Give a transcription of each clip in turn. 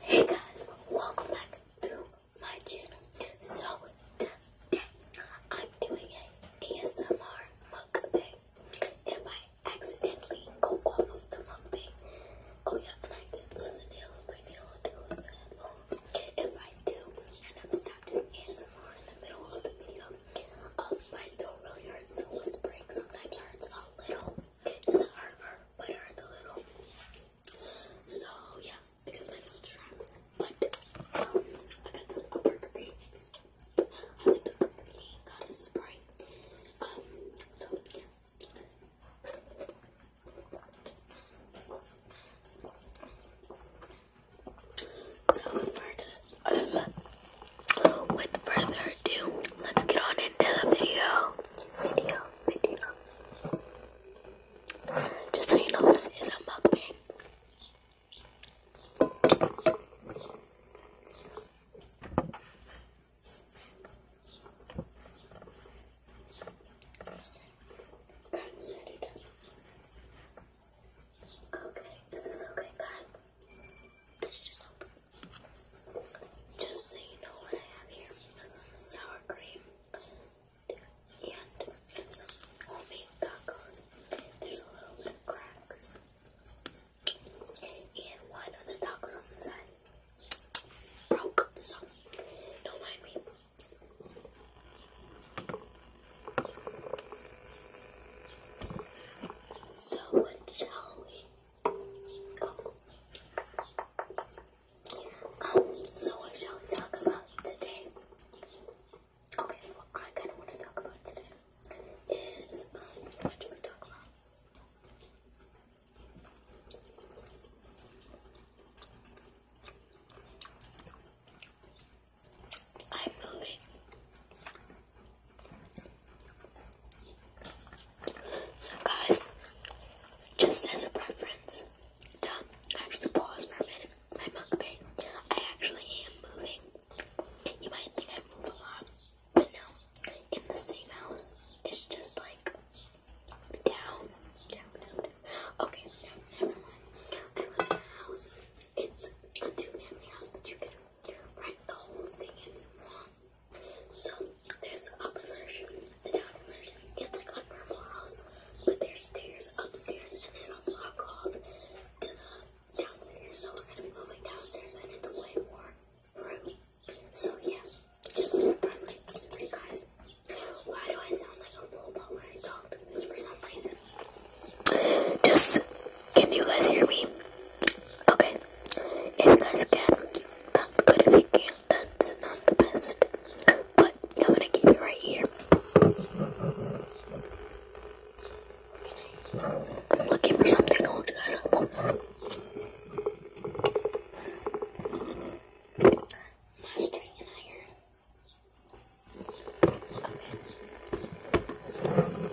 Hey guys, welcome back to my channel. So today I'm doing a ASMR mukbang. If I accidentally go off of the mukbang, oh yeah, and I can lose a nail or nail or do it. If I do, and I'm stopped doing ASMR in the middle of the video, um, my throat really hurts, so whispering sometimes hurts a little. doesn't hurt, but it hurts a little. So yeah, because my phone's trapped. But um, I got the a Burberry. I like the Burberry. Got a spray. Um. So with further ado, let's get on into the video. Video, video, just so you know, this is a mukbang. Okay, is this okay, guys? It's just open. Just so you know what I have here is some sour cream and some homemade tacos. There's a little bit of cracks. And one of the tacos on the side broke, so don't mind me. So what shall we? Oh. Um, so what shall we talk about today? Okay, what I kind of want to talk about today is, um, what should we talk about? I'm so guys, just as a preference, to pause for a minute, my mukbang, I actually am moving. You might think I move a lot, but no. In the same house, it's just like down, down, down, Okay, never mind. I live in a house. It's a two-family house, but you can rent the whole thing if you want. So there's the upper version, the down version. It's like on normal house, but there's stairs upstairs and there's a block off to the downstairs. So we're gonna be moving downstairs and into way more room. So yeah, just look at my for you guys. Why do I sound like a robot when I talk? Because for some reason. Just can you guys hear me? Okay. If you guys can, that's good. If you can, that's not the best. But I'm gonna keep it right here. I'm looking for something to hold you guys up. My and iron. Okay.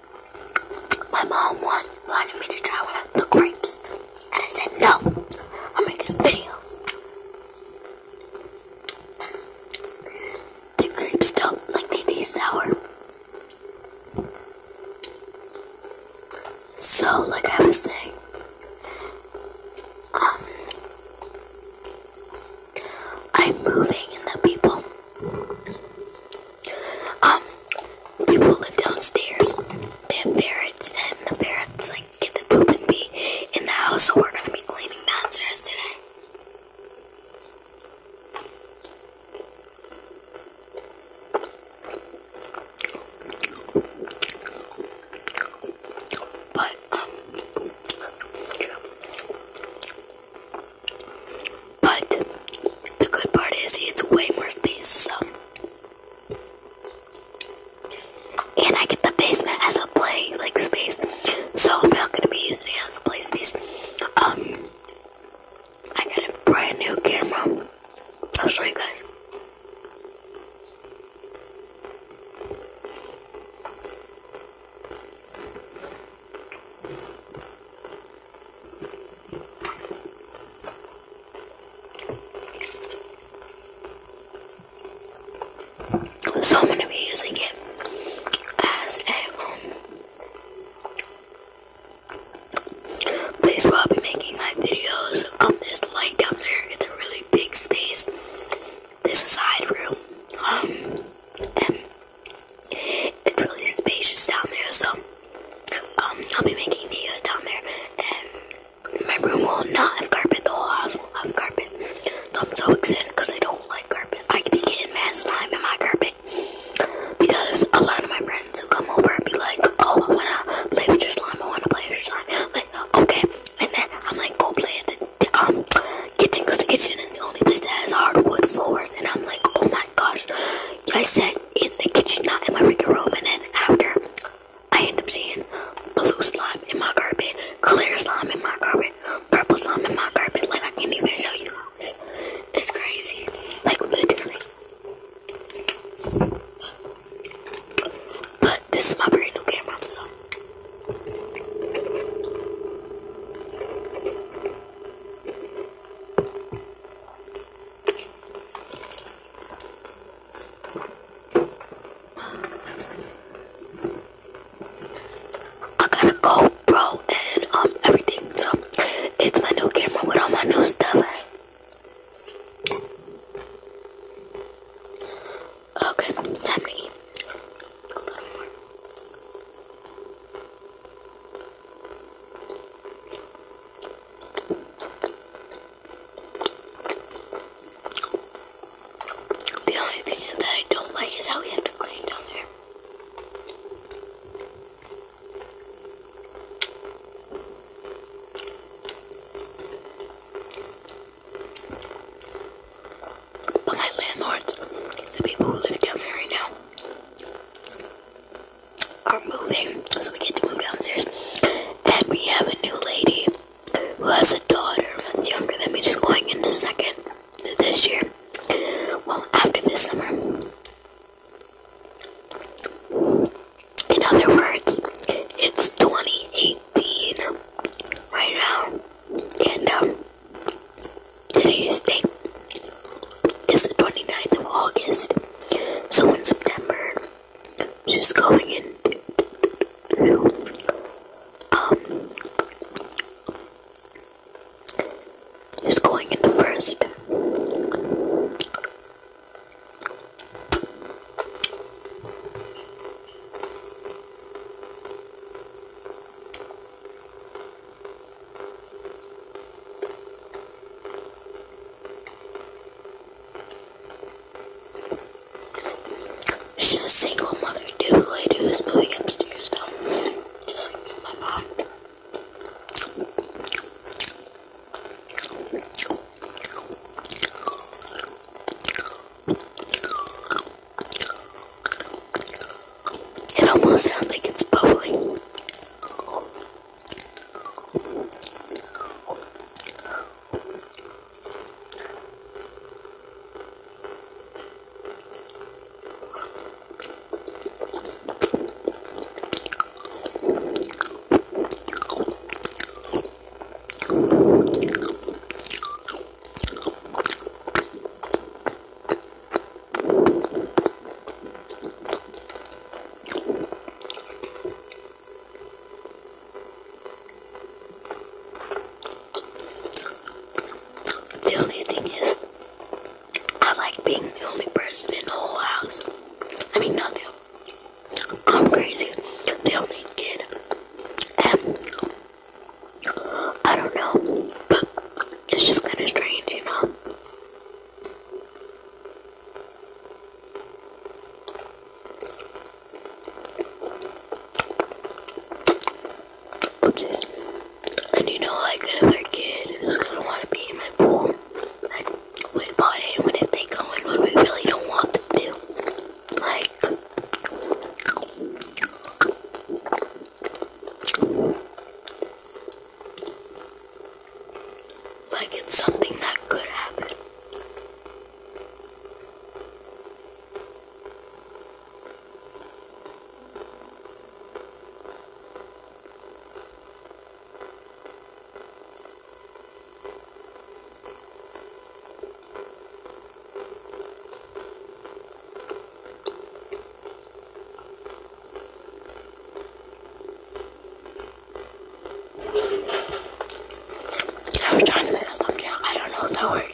My mom wanted, me to try one the grapes. And I said, no, I'm making a video. The grapes don't, like they taste sour. So, like I was saying, um, I'm moving and the people um people live downstairs. They have ferrets and the ferrets like get the poop and pee in the house, so we're gonna be cleaning downstairs today. But um but the good part is it's way more spacious, and I get the basement as a play like space. So I'm not gonna be using it as a play space. Um I got a brand new camera. I'll show you guys. So I'm gonna be using it as a um, place where I'll be making my videos. Um there's the light down there, it's a really big space. This side room. Um, it's really spacious down there, so um, I'll be making videos down there. And my room will not have carpet. The whole house will have carpet. So I'm so excited because I don't like carpet. I could be getting mad slime in my carpet because a lot of my friends will come over and be like, "Oh, I wanna play with your slime. I wanna play with your slime." I'm like, okay, and then I'm like, go play at the, um kitchen because the kitchen is only place that has hardwood floors. And I'm like, oh my gosh. I sat in the kitchen, not in my freaking room. And then after, I end up seeing blue slime in my carpet, clear slime in my carpet, purple slime in my carpet. Like, I can't even show you guys. It's crazy. Like, literally. But this is my brand new camera, so. I got a GoPro and um everything, so it's my new camera with all my new stuff. Okay, time to eat. The only thing that I don't like is how we have to clean down there. But my landlords, the people who live down there right now, are moving, so we get to move downstairs. And we have a new lady who has a daughter that's younger than me, just going into second this year. Well, after this summer. In other words, it's 2018 right now. And, um, Today's date is the 29th of August. So in September, she's going in. um she's going into first. She's a single mother, dude, lady who's moving upstairs, though. Just like my mom. It almost sounds like it's bubbling. The only thing is, I like being the only person in the whole house. I mean, not I'm crazy. The only kid. And I don't know, but it's just kind of strange, you know. And you know, like another kid who's gonna want to be in my pool, like we bought in when if they oh go in we really don't want them to, like. Like it's something that could happen. I was trying to make that thumbs down. I don't know if that worked.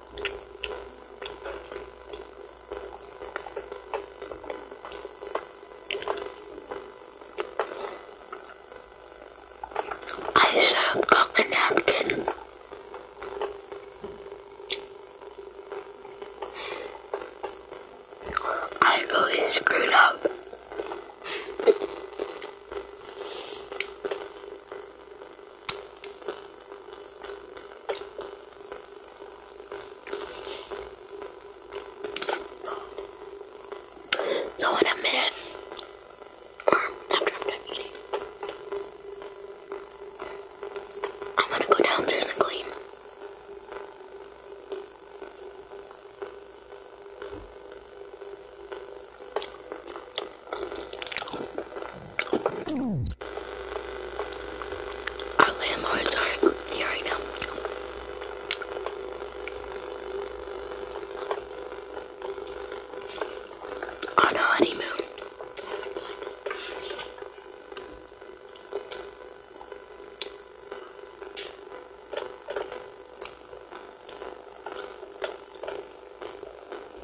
I should have got a napkin. I really screwed up. So in a minute, um, after I'm done eating, I'm gonna go downstairs and clean. Our landlords are here right now. On a honeymoon.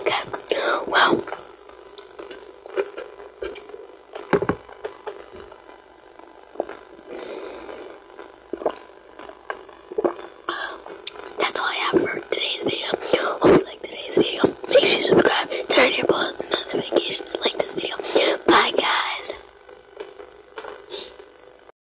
Okay. Well. That's all I have for today's video. Hope you like today's video. Make sure you subscribe, turn your post notifications, like this video. Bye guys.